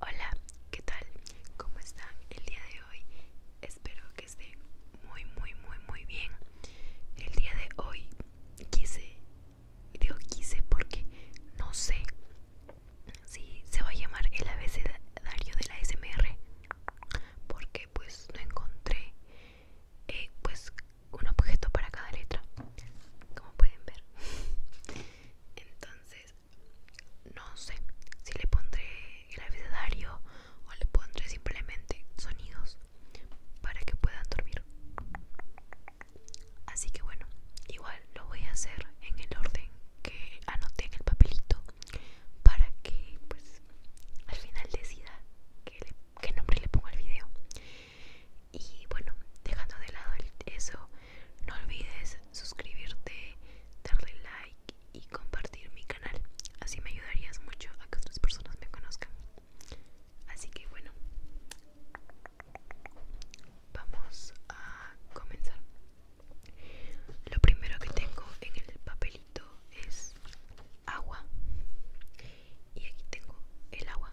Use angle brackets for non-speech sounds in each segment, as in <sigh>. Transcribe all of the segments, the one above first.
Hola, ¿qué tal? ¿Cómo están el día de hoy? Espero que esté muy, muy, muy, muy bien. El día de hoy quise, digo quise porque no sé si se va a llamar el abecedario de la SMR, porque pues no encontré eh, pues un objeto para cada letra, como pueden ver. <laughs> Entonces no sé si le pondré el abecedario o le pondré simplemente sonidos para que puedan dormir. Así que bueno, igual lo voy a hacer en el orden que anoté en el papelito para que pues al final decida qué, qué nombre le pongo al video. Y bueno, dejando de lado eso, no olvides suscribirte, darle like y compartir mi canal. Así me ayudarías mucho a que otras personas me conozcan. Así que bueno, vamos a comenzar. Lo primero que tengo en el papelito es agua. Y aquí tengo el agua.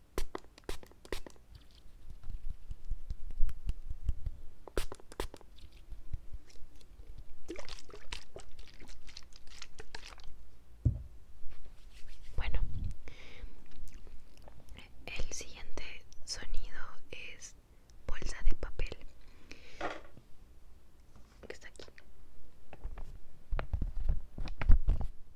Bueno, el siguiente sonido es bolsa de papel que está aquí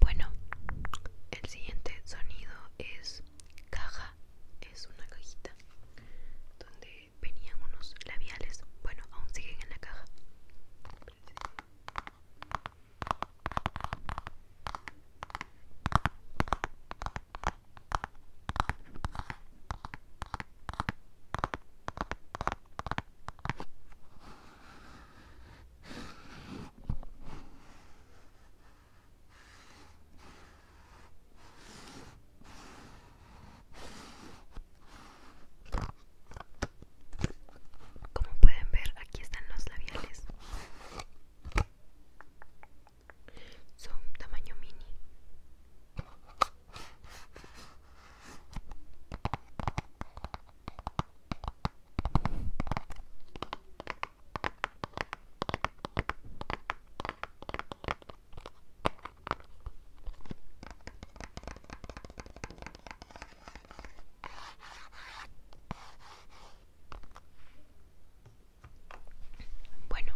Bueno, el siguiente sonido es caja es una cajita donde venían unos labiales bueno aún siguen en la caja como pueden ver, aquí están los labiales. Son tamaño mini. Bueno,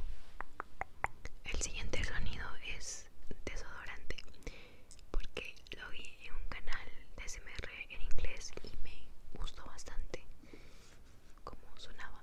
el siguiente sonido es desodorante, porque lo vi en un canal de SMR en inglés y me gustó bastante como sonaba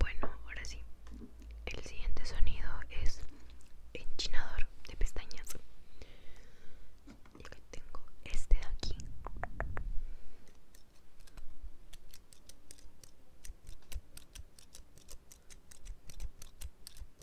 Bueno, ahora sí. El siguiente sonido es enchinador de pestañas. Y tengo este de aquí.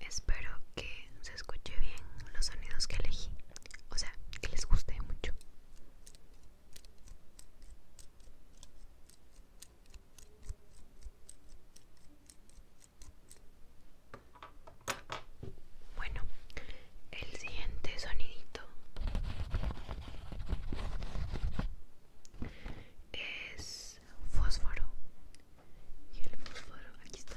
Espero que se escuche bien los sonidos que elegí, o sea, que les guste mucho. Bueno, el siguiente sonidito es fósforo. Y el fósforo, aquí está.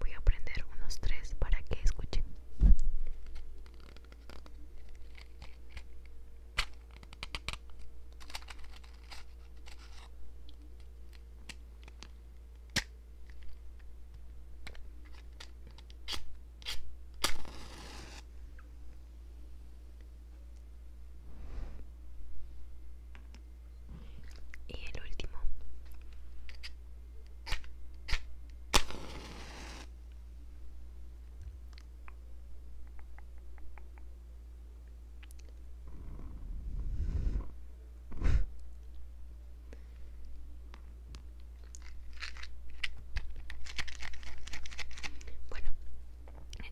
Voy a prender unos tres para que escuchen. Y el último. Bueno,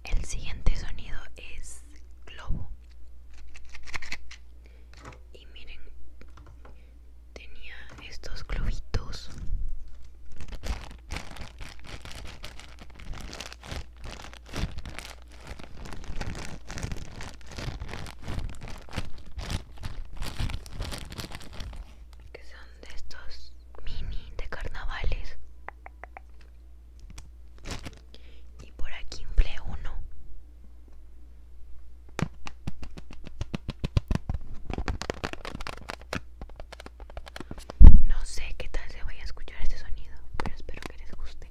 el siguiente sonido es globo. Y miren, tenía estos globitos que son de estos mini de carnavales y por aquí empleo uno no sé qué tal se vaya a escuchar este sonido pero espero que les guste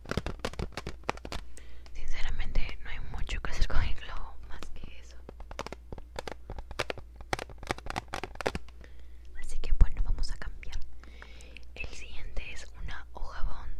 Sinceramente no hay mucho que hacer con el globo más que eso. Así que bueno, vamos a cambiar. El siguiente es una hoja bond.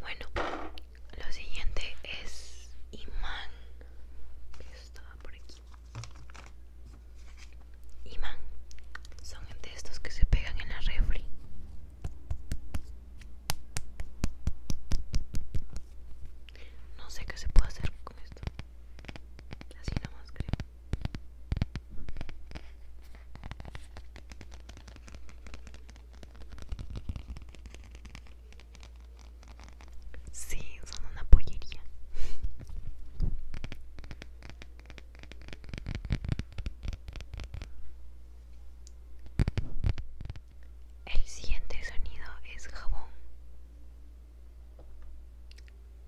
Bueno, lo siguiente es imán. Estaba por aquí. Imán. Son de estos que se pegan en la refri. No sé qué se puede hacer con esto. Así nomás creo. Sí, son una pollería. El siguiente sonido es jabón.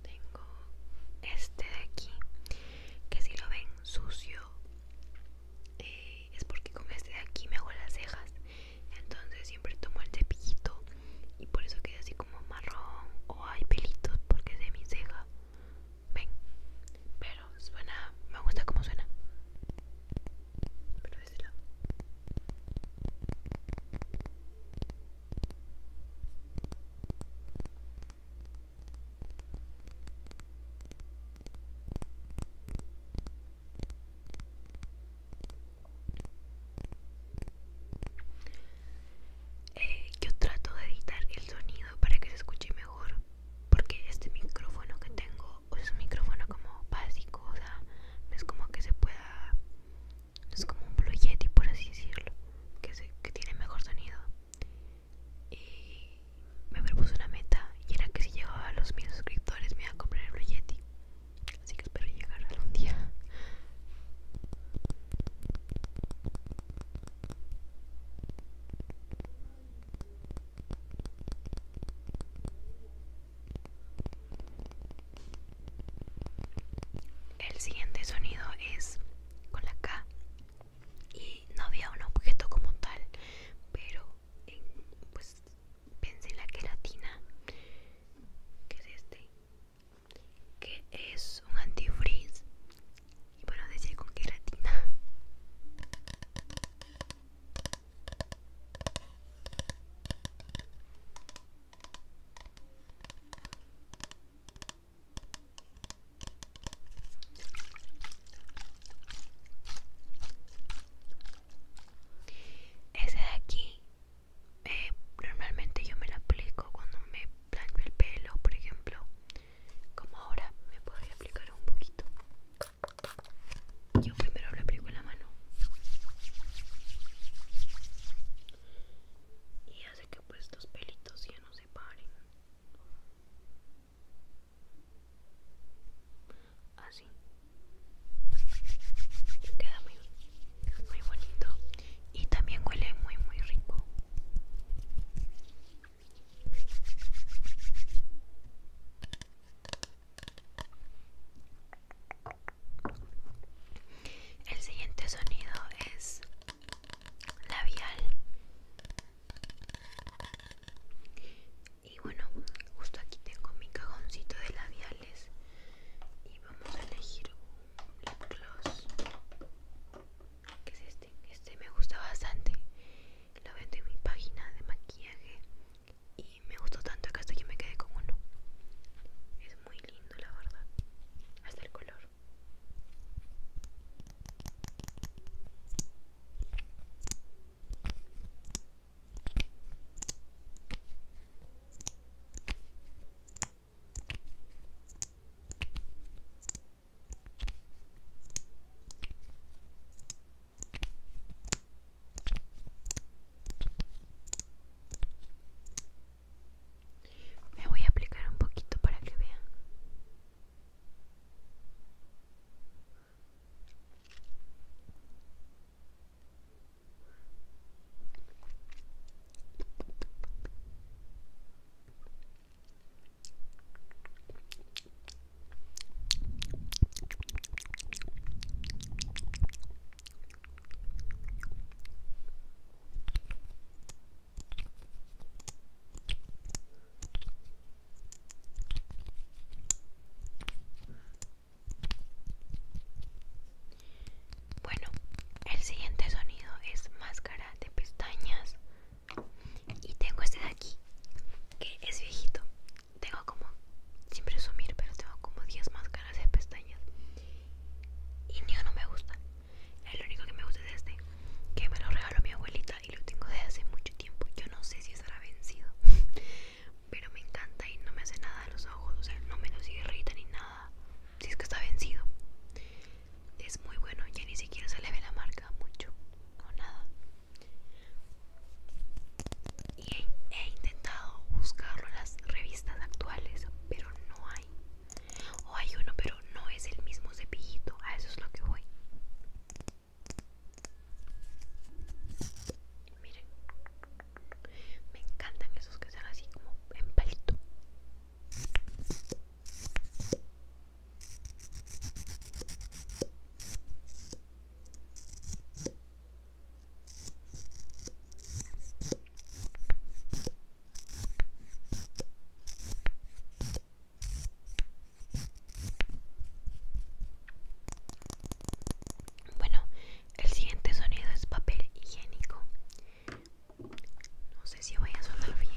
Tengo este de aquí, que si lo ven sucio, eh, es porque con este de aquí me hago las cejas. Entonces siempre tomo el cepillito y por eso queda así como marrón o hay pelitos porque es de mi ceja. Ven, pero suena, me gusta como suena. Pero es lado. Eh, yo trato de editar el sonido para que se escuche mejor porque este micrófono que tengo es un micrófono como básico, o sea, es como que se pueda es como un Blue Yeti, por así decirlo, que, se, que tiene mejor sonido. Y me propuso una meta y era que si llegaba a los mil suscriptores me iba a comprar el Blue Yeti. Así que espero llegar algún día. El siguiente sonido es con la K y no había un objeto como tal, pero pues pensé en la queratina, que es este, que es un antifreeze y bueno decía con queratina. Ese de aquí, eh, normalmente yo me lo aplico cuando me plancho el pelo, por ejemplo. Como ahora me podría aplicar un poquito. Yo primero lo aplico en la mano. Y que pues estos pelitos ya no se paren así queda muy bonito y también huele muy muy rico el siguiente sonido es labial. Y bueno, justo aquí tengo mi cajoncito de labiales y vamos a elegir un gloss. Que es este? Este me gusta bastante. Lo vendo en mi página de maquillaje y me gustó tanto que hasta que me quedé con uno muy lindo la verdad hasta el color me voy a aplicar un poquito para que vean. Bueno, el siguiente sonido es máscara de pestañas. Y tengo este de aquí, que es viejito. Tengo como, sin presumir, pero tengo como 10 máscaras de pestañas. Y ni uno me gusta. El único que me gusta de este, que me lo regaló mi abuelita y lo tengo desde hace mucho tiempo. Yo no sé si estará vencido, <laughs> pero me encanta y no me hace nada a los ojos, o sea, no me los irrita ni nada. Si es que está vencido, es muy bueno. Ya ni siquiera se le ve la marca mucho o nada. Y he intentado buscarlo en las revistas actuales, pero no hay. O hay uno, pero no es el mismo cepillito. A eso es lo que voy. Miren, me encantan esos que están así como en palito. Bueno, el siguiente sonido es papel higiénico. No sé si voy a sonar bien.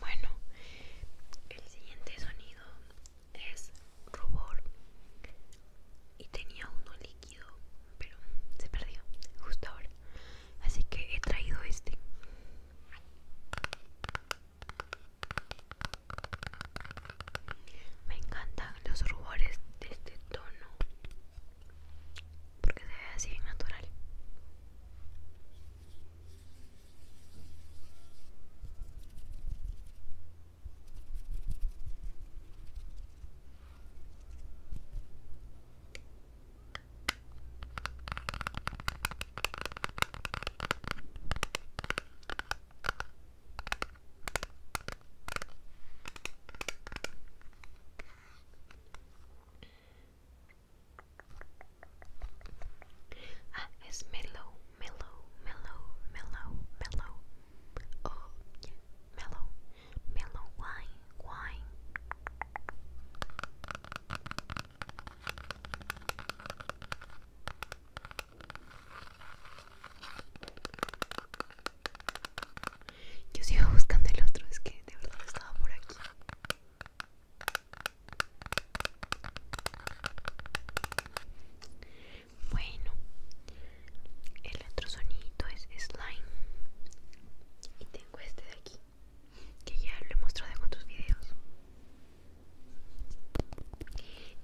Bueno, el siguiente sonido es rubor y tenía uno líquido pero se perdió justo ahora así que he traído este me encantan los rubores de este tono porque se ve así en natural Ah, es mellow mellow, mellow, mellow, mellow. Oh, yeah, mellow, mellow wine, wine. Yo sigo buscando el otro, es que de verdad estaba por aquí. Bueno, el otro sonito es slime. Y tengo este de aquí, que ya lo he mostrado en otros videos.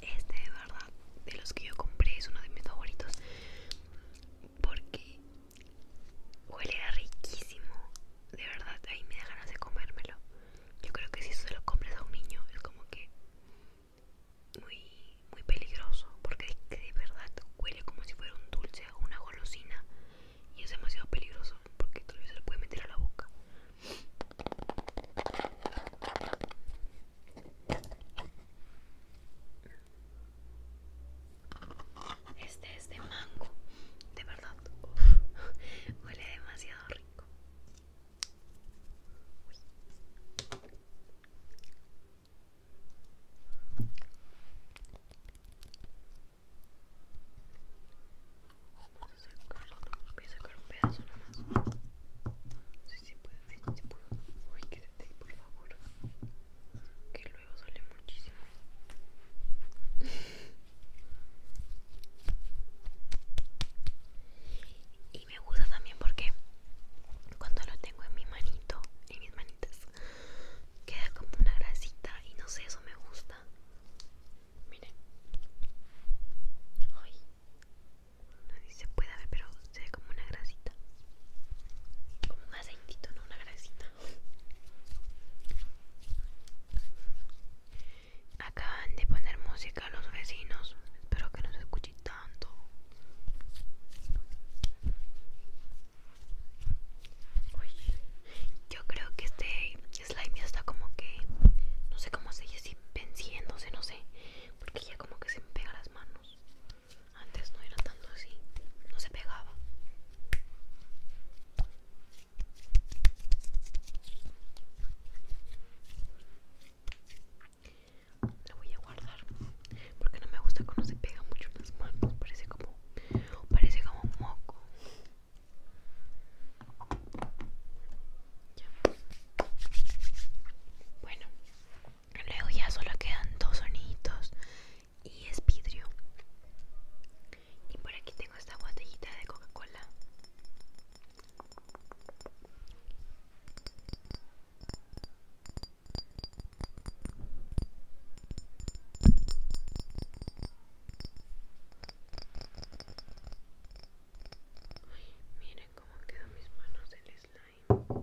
Este de verdad, de los que yo compré, es uno de mis favoritos. Porque huele riquísimo. De verdad, ahí me da ganas de comérmelo. Yo creo que si eso se lo compras a un niño, es como que muy, muy peligroso porque de verdad huele como si fuera un dulce o una golosina y es demasiado peligroso porque tal se lo puede meter a la boca este es de mango de verdad <laughs> huele demasiado rico Voy a sacar un pedazo nada No sé si puede, si puedo. Uy, quédate, por favor. Que luego sale muchísimo. y me gusta también porque cuando lo tengo en mi manito, en mis manitas, queda como una grasita y no sé, eso me gusta. Miren. hoy No se puede ver, pero se ve como una grasita. Como un aceitito, no una grasita. Acaban de poner música a los vecinos. Espero que no se escuche tanto. yo creo que este slime ya está como que. No sé cómo se así venciéndose, no sé. Porque ya como que se me pega las manos. Antes no era tanto así. No se pegaba la voy a guardar porque no me gusta cuando se pega mucho en las manos parece como parece como un moco bueno luego ya solo quedan dos sonitos y es vidrio y por aquí tengo esta botellita de coca cola miren cómo quedan mis manos en el slime.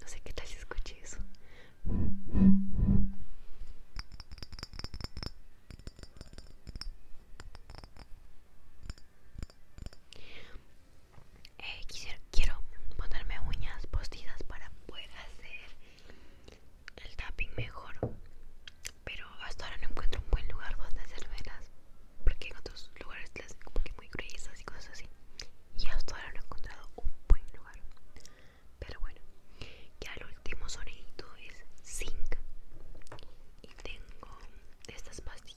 No sé qué tal si escuché eso. Eh, quiero ponerme uñas postizas para poder hacer el tapping mejor. Pero hasta ahora no encuentro un buen lugar donde velas Porque en otros lugares las hacen como muy gruesas y cosas así. Y hasta ahora no he encontrado un buen lugar pero bueno ya el último sonidito es zinc y tengo estas pastitas.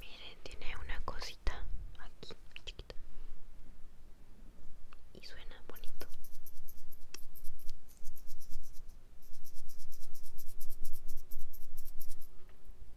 Miren, tiene una cosita aquí, chiquita. Y suena bonito.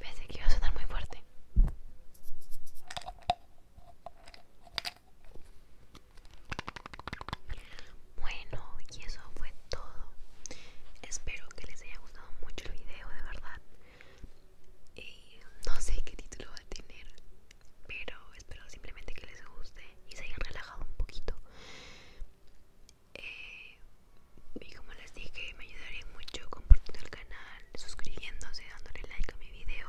Pensé que iba a sonar muy fuerte. Bueno, y eso fue todo. Espero que les haya gustado mucho el video, de verdad. Eh, no sé qué título va a tener pero espero simplemente que les guste y se hayan relajado un poquito eh, y como les dije me ayudaría mucho compartiendo el canal suscribiéndose dándole like a mi video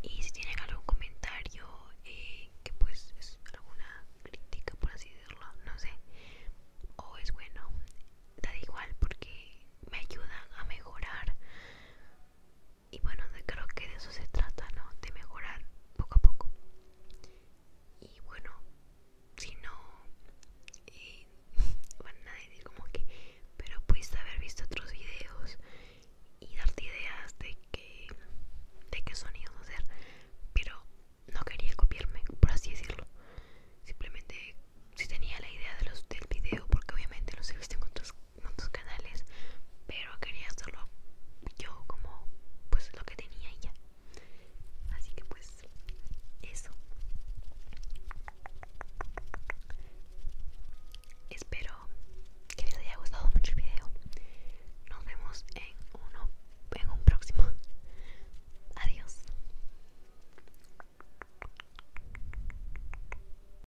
y si tienen algún comentario eh, que pues es alguna crítica por así decirlo no sé o es bueno da igual porque me ayudan a mejorar y bueno, creo que de eso se trata, ¿no? De mejorar poco a poco. Y bueno, si no, eh, <laughs> bueno, nadie como que, pero pudiste haber visto otros videos y darte ideas de que de qué sonido hacer, pero no quería copiarme, por así decirlo. Simplemente si tenía la idea de los del video, porque obviamente los he visto en otras otros canales pero quería hacerlo yo como pues lo que tenía ella así que pues eso espero que les haya gustado mucho el video nos vemos en uno en un próximo adiós